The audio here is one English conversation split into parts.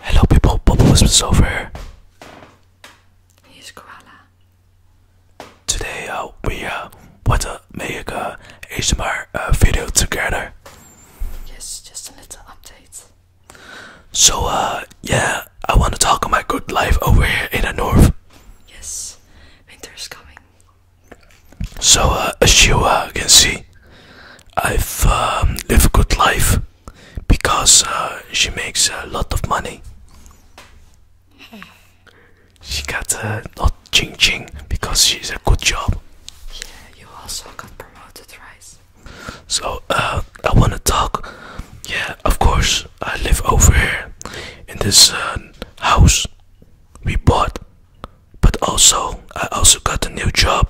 Hello people, Bobo Wisps over. Here's Koala. Today uh, we uh, are going to make a HMR uh, video together. Yes, just a little update. So uh, yeah, I want to talk about my good life over here in the north. Yes, winter is coming. So uh, as you can see, I've um, lived a good life because uh, she makes a lot of money. She got a lot ching ching because she's a good job. Yeah, you also got promoted, right? So uh, I wanna talk. Yeah, of course. I live over here in this uh, house we bought, but also I also got a new job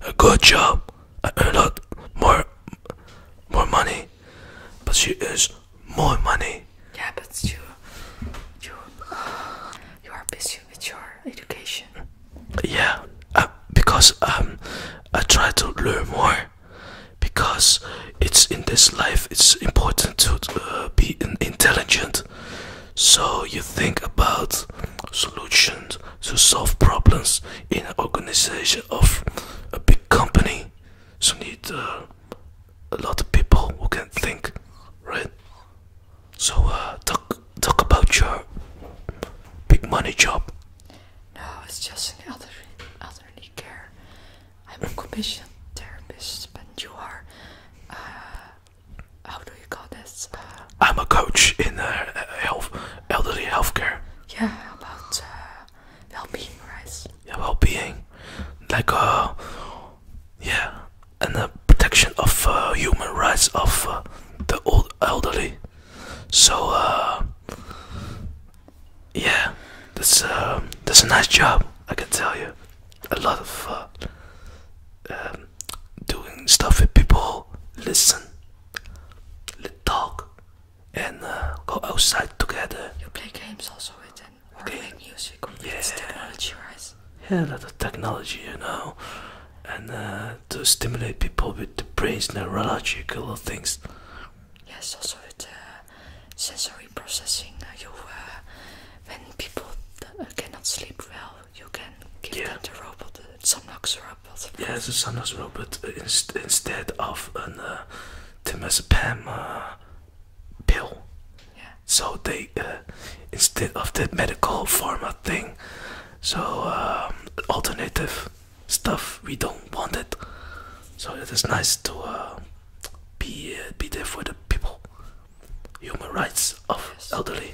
a good job. I earn a lot more, more money. But she earns more money. Yeah, but you, you, you are busy with your education. Yeah, uh, because um, I try to learn more. Because it's in this life, it's important to uh, be intelligent. So you think about solutions to solve problems in an organization of a big company. So need uh, a lot of people who can think, right? So uh, talk talk about your big money job. No, it's just an elderly, other care. I'm a commission therapist, but you are uh, how do you call this? I'm a coach in uh, health, elderly healthcare. Yeah, about uh, well-being, right? Yeah, well-being, like uh, yeah, and the protection of uh, human rights of the old elderly. So yeah, that's that's a nice job. I can tell you, a lot of um, doing stuff with people, listen, let talk, and uh, go outside together. You play games also with them, You play make music, or yeah. technology, wise. Yeah, a lot of technology, you know, and uh, to stimulate people with the brain's neurological things. Yes, also with the sensory processing. Uh, you, when people cannot sleep well you can give the robot, the Somnox robot. Yeah, it's a Somnox robot uh, instead of a uh, temazepam uh, pill. Yeah. So they uh, instead of the medical form of thing, so um, alternative stuff we don't want it. So it is nice to uh, be be there for the people. Human rights of elderly.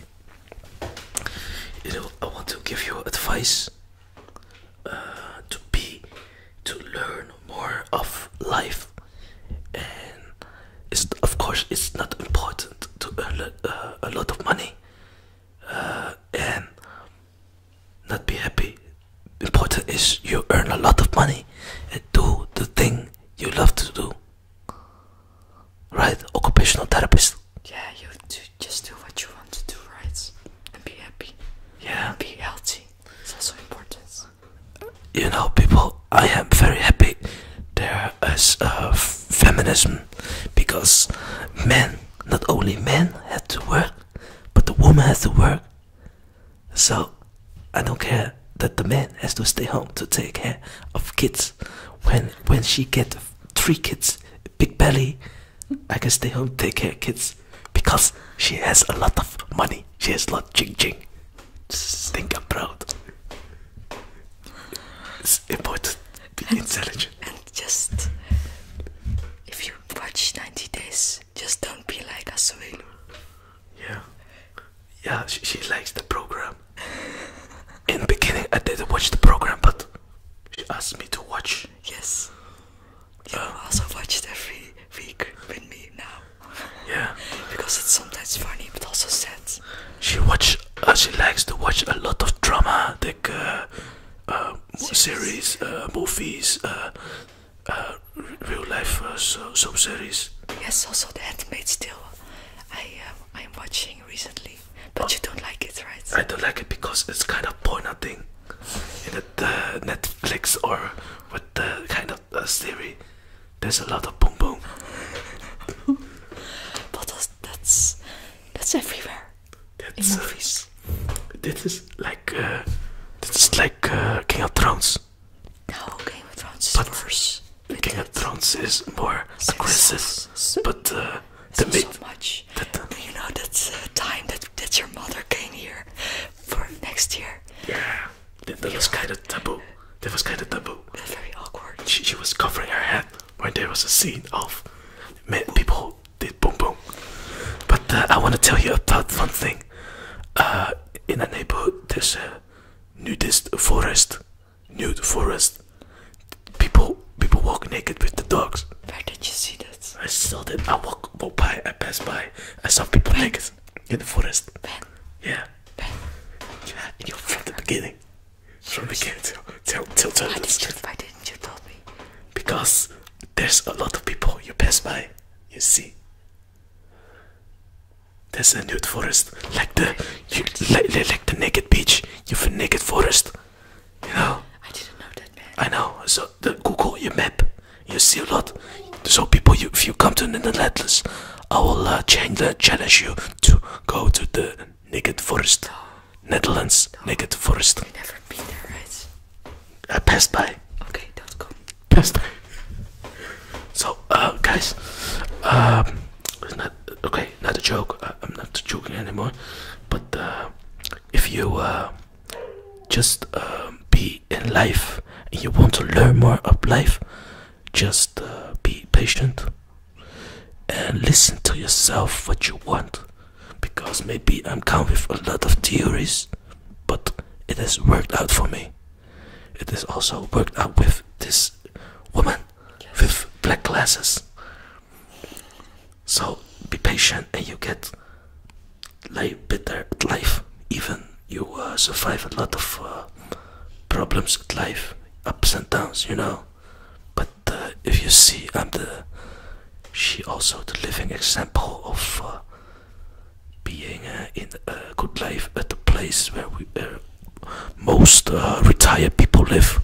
I want to give you advice uh, to be to learn more of life, and of course it's not important to earn a uh, lot of money uh, and not be happy. Important is you earn a lot of money and do the thing you love to do. Right, occupational therapist. Yeah, you do just do what you want to do, right? And be happy. Yeah. be healthy. It's also important. You know, people, I am very happy there is uh, feminism because men, not only men, had to work, but the woman has to work. So I don't care that the man has to stay home to take care of kids when when she get three kids, big belly, I can stay home take care of kids because she has a lot of money. She has a lot ching ching. Just think I'm proud. important be intelligent. And just if you watch 90 days, just don't be like Asuelu. Yeah. Yeah, she likes the program. in the beginning I didn't watch the program, but she asked me to watch. Yes. You also watch every week with me now. Yeah. because it's sometimes funny, but also sad. She watch. Uh, she likes to watch a lot of drama, like uh, uh, series, uh, movies, real life sub series. Yes, also the Handmaid's Tale. I am. I'm watching recently, but you don't like it, right? I don't like it because it's kind of boring. thing, in the uh, Netflix or with the kind of uh, There's a lot of boom boom. but that's that's, everywhere. That's, in uh, movies. this is like uh, this is like uh, King of Thrones. No, Game of Thrones but King of Thrones is more so, aggressive, but the uh, the so much. That, you know that time that that your mother came here for next year. Yeah, that, was kind of taboo. That was kind of taboo. very awkward. She, she was covering her head when there was a scene of men, people did boom boom. But uh, I want to tell you about one thing. Uh, in a neighborhood, there's a nudist forest nude forest. People people walk naked with the dogs. Where did you see that? I saw that. I walk, walk by. I pass by. I saw people ben. naked in the forest. Ben. Yeah. Ben. Yeah. You from the beginning. From the beginning till till till till. Why, did you, why didn't you tell me? Because there's a lot of people you pass by. You see. There's a nude forest, like the like, the naked beach. You've a naked forest, you know. I didn't know that, man. I know. So Google your map, you see a lot. So people, you, if you come to the Netherlands, I will uh, challenge you to go to the naked forest, Netherlands naked forest. never been there, right? I passed by. Okay, don't go. Passed So, uh, guys, um, uh, okay, not a joke. Uh, I, am not joking anymore. But uh, if you just be in life and you want to learn more of life, just be patient and listen to yourself what you want. Because maybe I'm come with a lot of theories, but it has worked out for me. It is also worked out with this woman with black glasses. So be patient and you get like better at life. Even you uh, survive a lot of uh, problems at life, ups and downs, you know. But uh, if you see, I'm the she also the living example of being in a good life at the place where we uh, most uh, retired people live.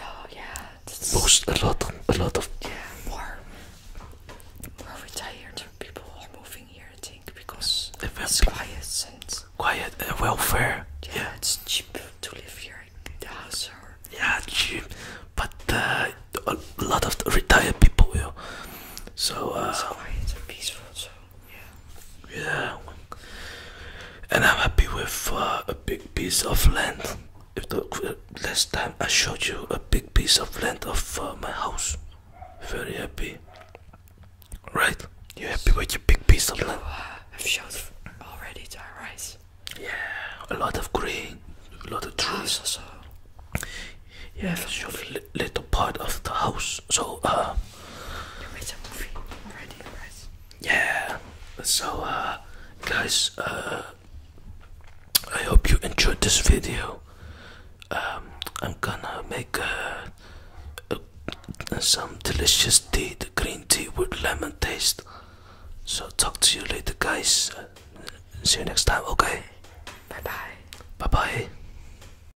Oh yeah. Most a lot, a lot of. Yeah, more, more retired people are moving here. I think because it's quiet and quiet and uh, welfare. Yeah, yeah, it's cheap to live here. The house or yeah, cheap, but uh, a lot of retired people will. So. Uh, it's quiet and peaceful. So. Yeah. And I'm happy with uh, a big piece of land. If last time I showed you a big piece of land of uh, my house, very happy. Right? You happy with your big piece of land? I've uh, showed already to our Yeah, a lot of green, a lot of oh, trees. Also, yeah, I've showed little part of the house. So, uh, Yeah. So, uh, guys, uh, I hope you enjoyed this video. Um, I'm gonna make some delicious tea, the green tea with lemon taste. So, talk to you later, guys. See you next time, okay? Bye bye. Bye bye.